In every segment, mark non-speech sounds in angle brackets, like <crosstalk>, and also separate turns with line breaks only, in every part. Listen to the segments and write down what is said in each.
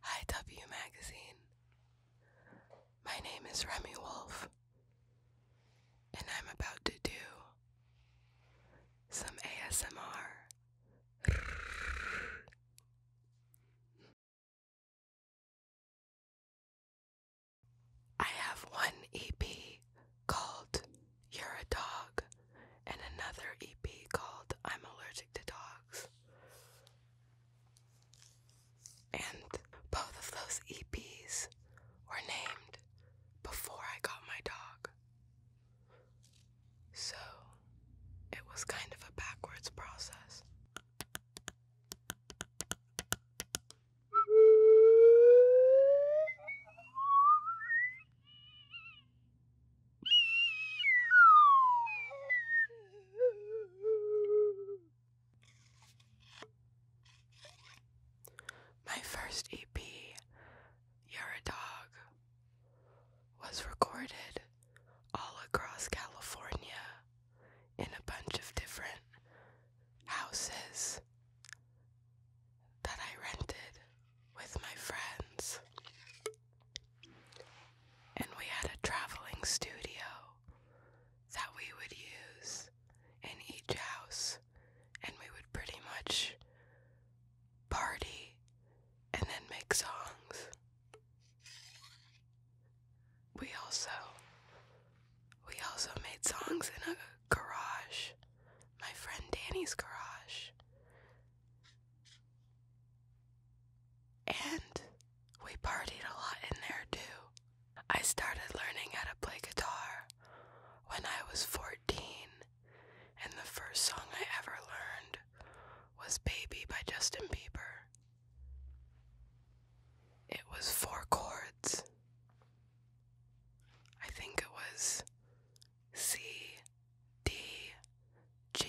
Hi W Magazine. My name is Remy Wolf, and I'm about to do some ASMR. I have one EP called You're a Dog and another EP called I'm Allergic the dogs. And both of those EPs were named before I got my dog. So it was kind of a backwards process. My first EP, You're a Dog, was recorded all across California in a bunch of different houses that I rented with my friends. And we had a traveling studio that we would use in each house, and we would pretty much party and then make songs. We also we also made songs in a garage, my friend Danny's garage. And we partied a lot in there too. I started learning how to play guitar when I was 14, and the first song I ever learned was Baby by Justin Bieber. It was four chords. I think it was C, D, G,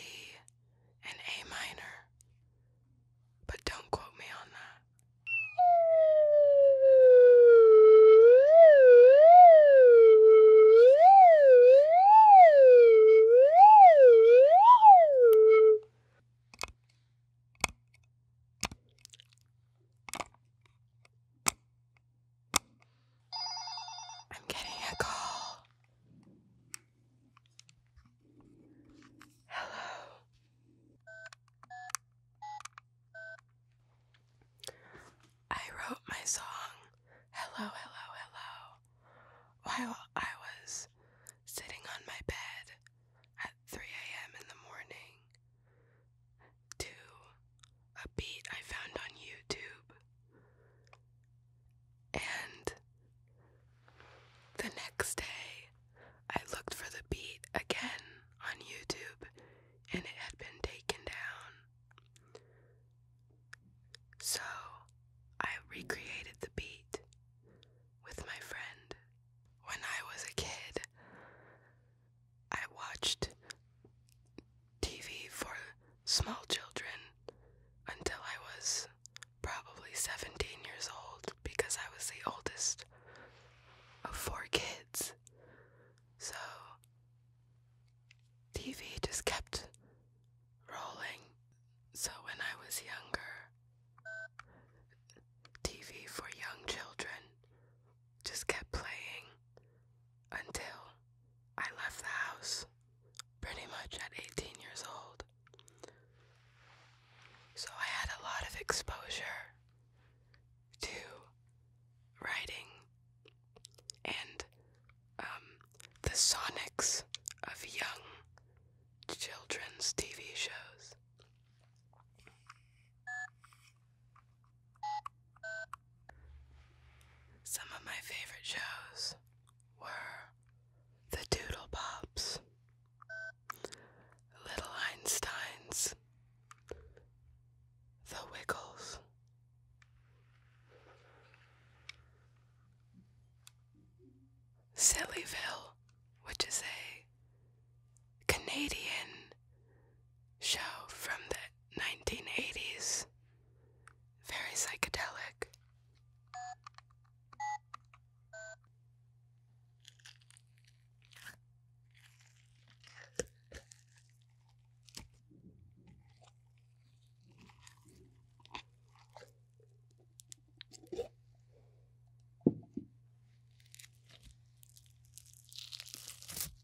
and A minor. But don't quote me on that. I'm getting a call. Hello. I wrote my song, Hello, Hello, Hello, while I was sitting on my bed at 3 a.m. in the morning to a beat I found on YouTube. And the next day, I looked for the beat again on YouTube and it had been taken down. So I recreated the beat with my friend. When I was a kid, I watched TV for small children until I was probably 17 years old because I was the oldest of four kids. So TV just kept rolling. So when I was younger, TV for young children just kept playing until I left the house pretty much at 18 years old. So I had a lot of exposure to writing and um, the sonics of young children's TV shows. Some of my favorite shows were The Doodle Pops, Little Einsteins, The Wiggles. Sillyville, which is a Canadian show from the 1980s, very psychedelic.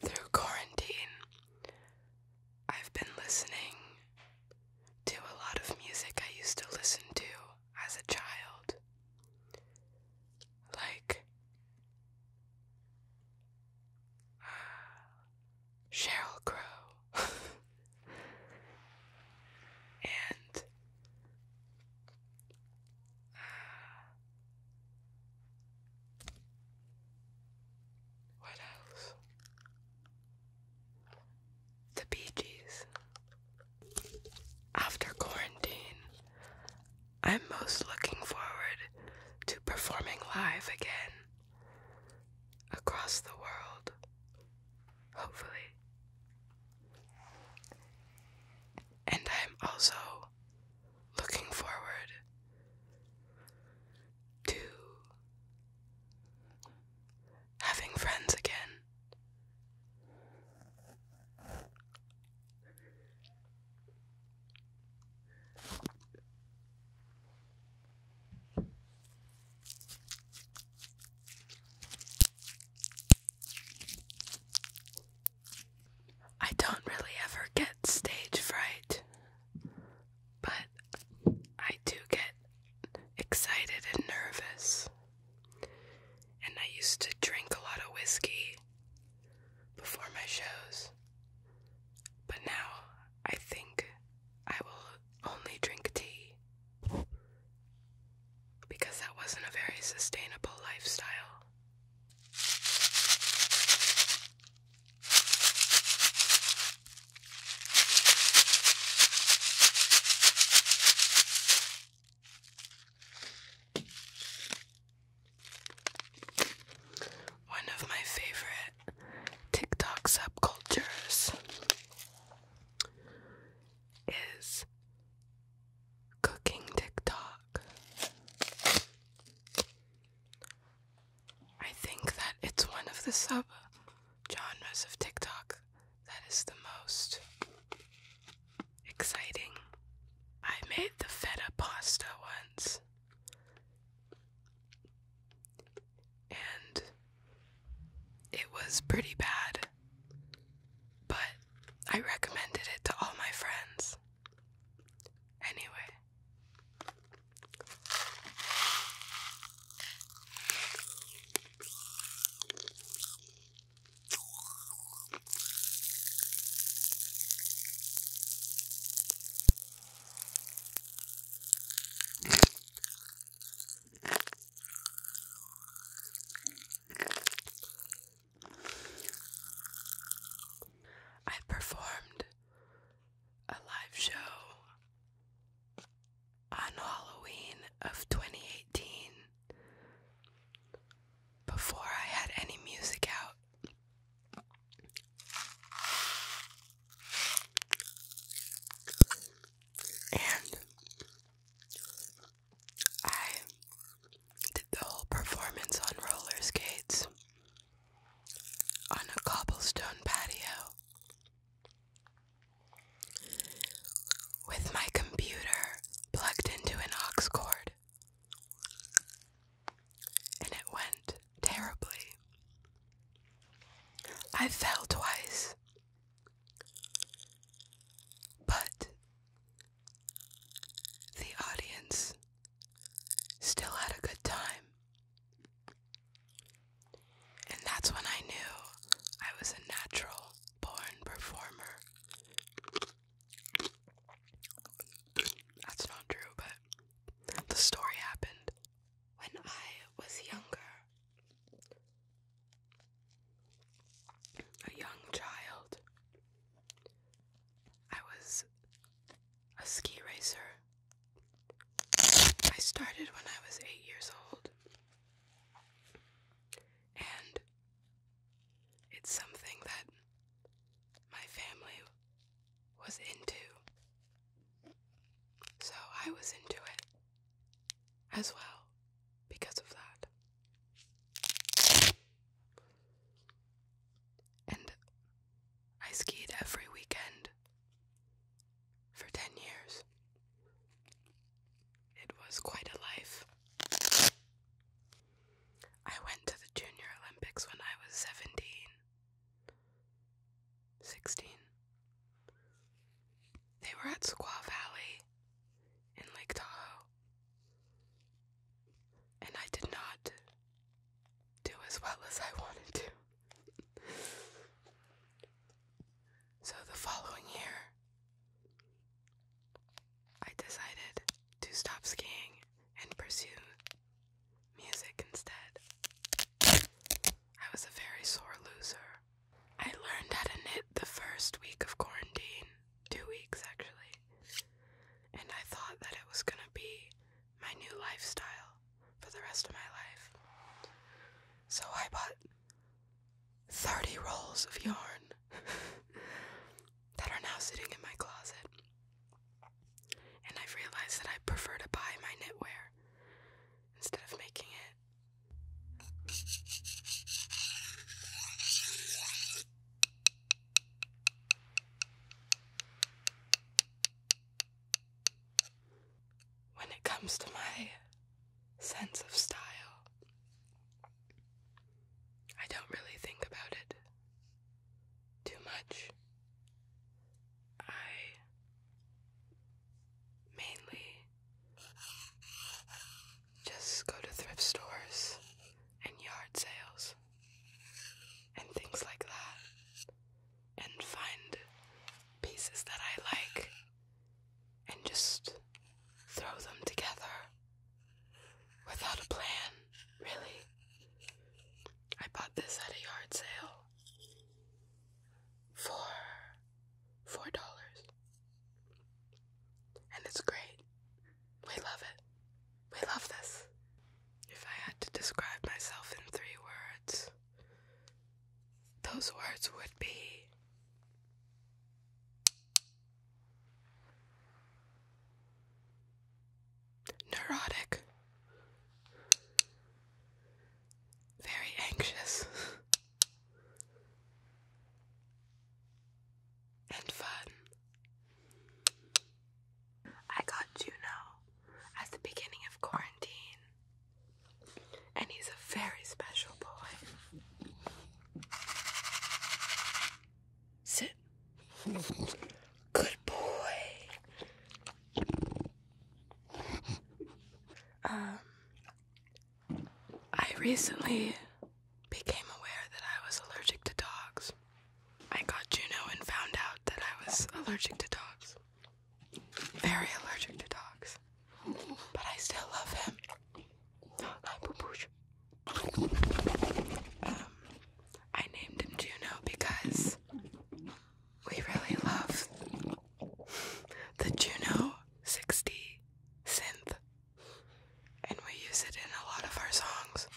Through quarantine, I've been listening to a lot of music I used to listen to as a child. Like Cheryl uh, Crow <laughs> and what else? The Bee Gees. After quarantine, I'm most looking forward to performing live again across the world, hopefully. And I'm also looking forward to having friends again. I don't really ever get stage fright, but I do get excited and nervous. And I used to drink a lot of whiskey before my shows, but now I think I will only drink tea because that wasn't a very sustainable lifestyle. One of my favorite TikTok subcultures is Cooking TikTok. I think that it's one of the sub genres of TikTok that is the most exciting. I made the feta pasta once. And it was pretty bad. But I recommended it to all my friends. Anyway. I performed a live show on Halloween of 2018 before I had any music out. And I did the whole performance on roller on a cobblestone patio with my computer plugged into an aux cord. And it went terribly. I fell twice but the audience still had a good time. And that's when I knew I was a natural born performer. That's not true, but the story happened when I was younger a young child. I was a ski racer. I started when I was eight years old, and it's something that my family was into. So I was into it as well because of that. And I skied every weekend for 10 years. It was quite a life. I went to the Junior Olympics when I was 17, 16, they were at Squaw Valley in Lake Tahoe. And I did not do as well as I wanted to. so the following year, I decided to stop skiing and pursue music instead. I was a very sore loser I learned how to knit the first week of quarantine, two weeks actually, and I thought that it was gonna be my new lifestyle for the rest of my life. So I bought 30 rolls of yarn <laughs> that are now sitting in my closet. And I've realized that I prefer to buy my knitwear instead of making it. When it comes to my sense of style, I don't really think about it too much. I mainly just go to thrift stores and yard sales and things like that and find pieces that I like and just throw them together without a plan, really. I bought this at a yard sale for four dollars. And it's great. We love it. We love this. If I had to describe myself in three words, those words would be neurotic, very anxious, <laughs> and fun. I got Juno at the beginning of quarantine, and he's a very special boy. Sit. Good boy. Um, I recently became aware that I was allergic to dogs. I got Juno and found out that I was allergic to dogs. Very allergic to dogs. But I still love him. Um, I named him Juno because we really love the Juno 60 synth, and we use it in a lot of our songs.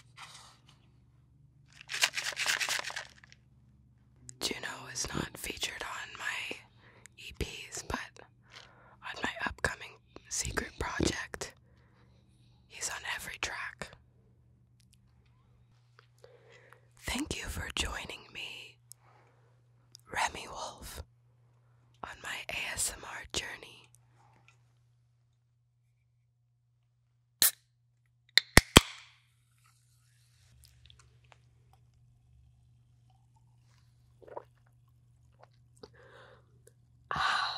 Juno is not featured on my EPs, but on my upcoming secret project, he's on every track. Thank you for joining me Remy Wolf on my ASMR journey. Ah.